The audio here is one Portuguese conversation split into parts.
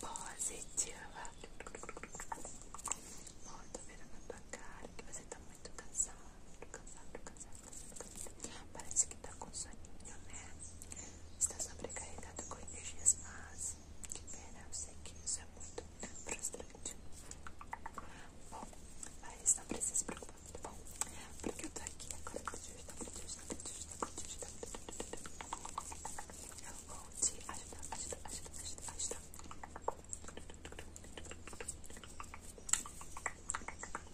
positiva. Ó, tô vendo na tua cara que você tá muito cansado, cansado, cansado, Parece que tá com soninho, né? Está sobrecarregado com energias más. Que pena, eu sei que isso é muito frustrante. Bom, mas não precisa se preocupar, tá bom? Porque eu tô aqui eu vou te ajudar, ajudar, ajudar, ajudar,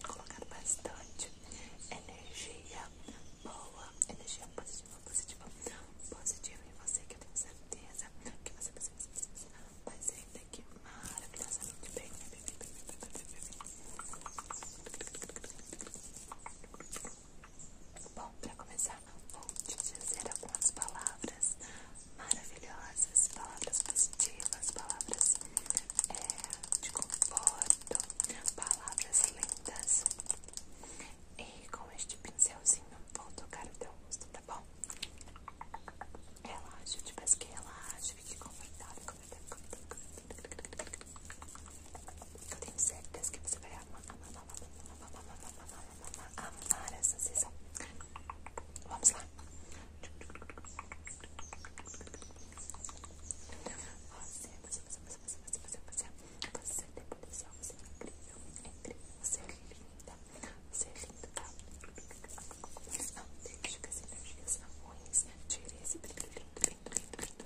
Colocar bastante energia boa, energia positiva, positiva, positiva em você, que eu tenho certeza que você, você, você, você vai sair daqui bem. Bom, para começar, vou te dizer algumas palavras maravilhosas, palavras positivas, palavras é, de conforto, palavras lindas. E com este pincelzinho vou tocar o teu rosto, tá bom? Relaxa, eu te peço que relaxe, fique confortável, eu tenho certeza que você vai amar, essa sessão. Vamos lá. Você, você, você, você, você, você, tem potencial, você é incrível, você é linda, você é linda, tá? Não deixa que as energias ruins tirem esse brilho lindo, lindo, lindo,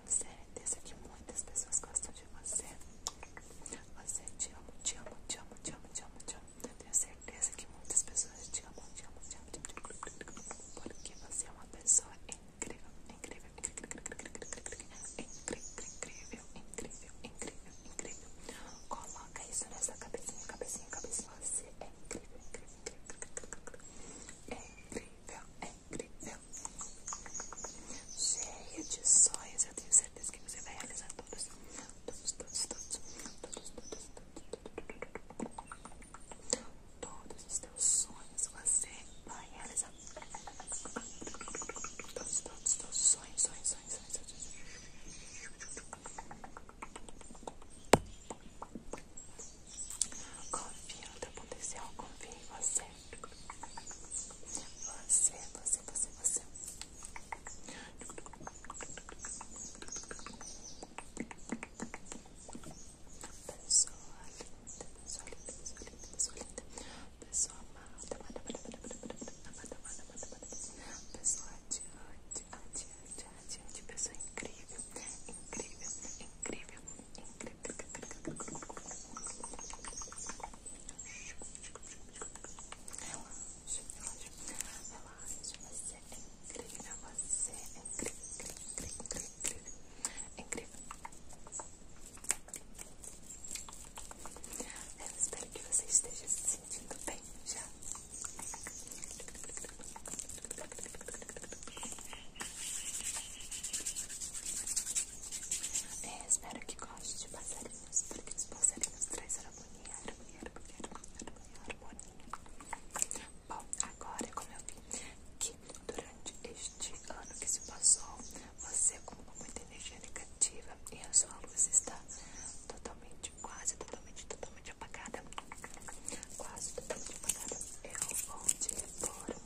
tenho certeza que muitas pessoas gostam de você. Você te amo, te amo, te amo, te amo, te amo, te amo. tenho certeza que muitas pessoas te amam, te amam, te amam, te amam. Porque você é uma pessoa incrível, incrível, incrível, incrível, incrível, incrível, incrível. Coloca isso nessa cabecinha, cabecinha, cabecinha. Você é incrível, incrível, incrível, incrível, incrível, incrível incrível, é cheia de sonhos. Eu tenho certeza que você vai realizar todos, todos, todos, todos, todos, todos, todos, todos os teus sonhos. Você vai realizar todos, todos, todos sonhos, sonhos, sonhos, sonhos. sonhos. Confia no teu potencial, confia em você. Você, você, você, você. Pessoa linda, pessoa linda, pessoa linda, pessoa linda. Pessoa amada, amada, amada, amada, amada, amada, amada, amada. Pessoa adiante, adiante, adiante. Pessoa incrível, incrível, incrível, incrível. Relaxa, relaxa, relaxa. Você é incrível, você é incrível, incrível, incrível, incrível, incrível. Eu espero que você esteja se sentindo bem já. É, espero que goste de passarinhos, porque os passarinhos trazem harmonia, harmonia, harmonia, harmonia, harmonia. Bom, agora, como eu vi que durante este ano que se passou, você acumulou muita energia negativa e a sua luz está totalmente, quase totalmente, totalmente apagada. Quase totalmente apagada. Eu vou te repor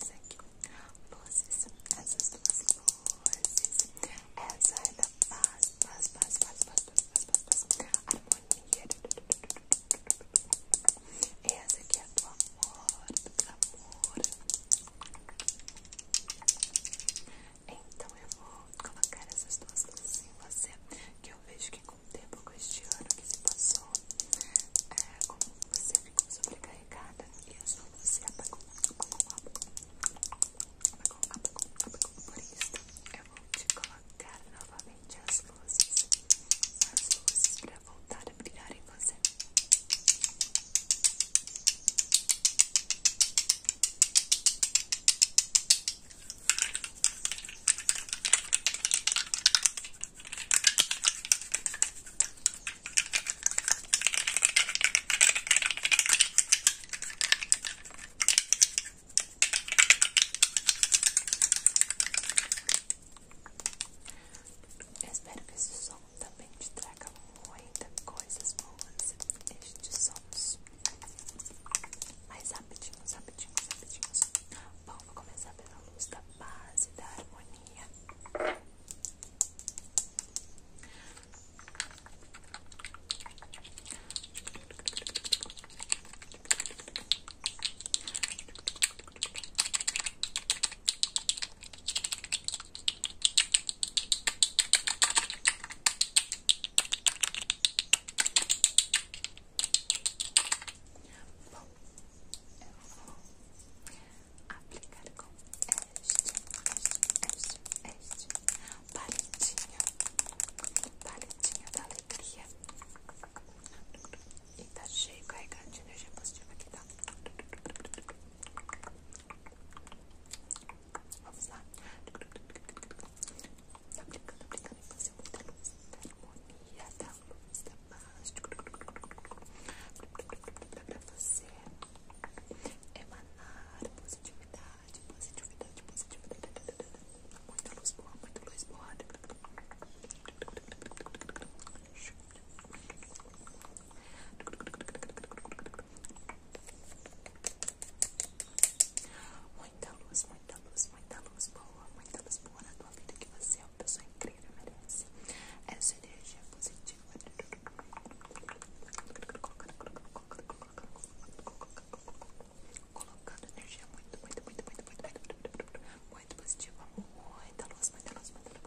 essa aqui. essas duas luzes. Essa é da paz, paz, paz, paz, paz, paz, paz, paz, paz. harmonia. Essa aqui é do amor, do amor. Então eu vou colocar essas duas luzes em você, que eu vejo que com o tempo, com este ano que se passou, é, como você ficou sobrecarregada e ajudou você apagou, apagou, apagou, apagou. Por isso, eu vou te colocar novamente as luzes, as luzes para voltar a brilhar em você. Eu espero que esse som também te traga muitas coisas boas. de sons mais rapidinhos, rapidinhos, rapidinhos. Bom, vou começar pela luz da tá base da harmonia. Bom, eu vou aplicar com este, este, este, este palitinho, palitinho, da alegria e tá cheio, carregado de energia positiva aqui, tá? Vamos lá. Tá aplicando, aplicando em você muita luz, muita harmonia, tá? pérolas da paz para você emanar positividade, positividade, positividade. Muita luz boa, muita luz boa. Muita luz, muita luz, muita luz boa, muita luz boa na tua vida, que você é uma pessoa incrível, merece essa energia é positiva. Colocando energia muito, muito, muito, muito, muito, muito, muito positiva, muita luz, muita luz, muita luz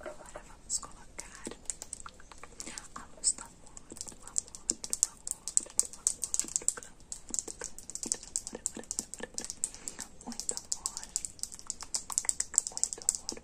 Agora vamos colocar a luz do amor, do amor, do amor, do amor, do clamor, do clamor, do amor, amor, amor, amor, muito amor, muito amor,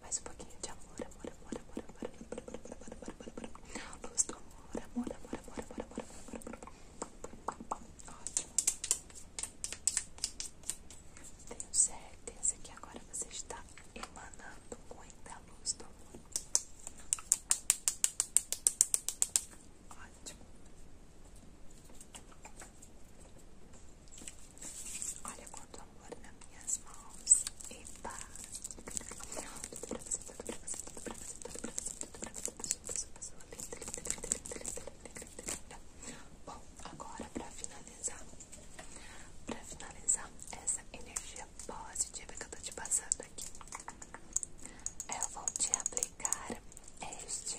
mais um pouquinho de amor, amor, amor, amor, amor, amor, amor, amor, amor, amor, amor, amor. Luz do amor, amor, amor, amor, amor, amor, amor, amor. Ótimo. Tenho certeza que agora você está emanando muita luz do amor. Ótimo. Olha quanto amor nas minhas mãos. Epa! Tudo pra você, tudo pra você, tudo pra você, tudo pra você, tudo pra você, tudo pra você, tudo pra você, tudo linda, linda, linda, linda, linda, linda, linda. Bom, agora pra finalizar, pra finalizar essa energia positiva que você, tô te passando aqui, eu vou te aplicar você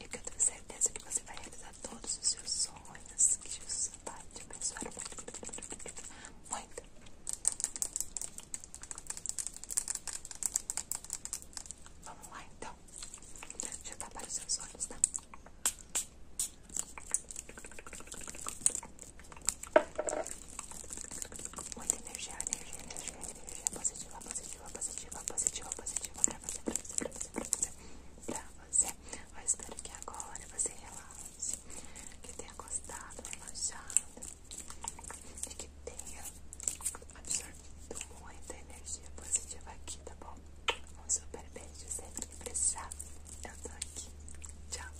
E que eu tenho certeza que você vai realizar todos os seus sonhos. Que Jesus vai tá te abençoar muito. Muito. Vamos lá então. Já tá para os seus olhos, tá? Muita energia, energia, energia, energia positiva, positiva positiva, positiva, positiva, positiva pra você, pra você, pra você, pra você, pra você. espero que agora você relaxe, que tenha gostado, relaxado e que tenha absorvido muita energia positiva aqui, tá bom? Um super beijo, sempre que precisar, eu tô aqui. Tchau.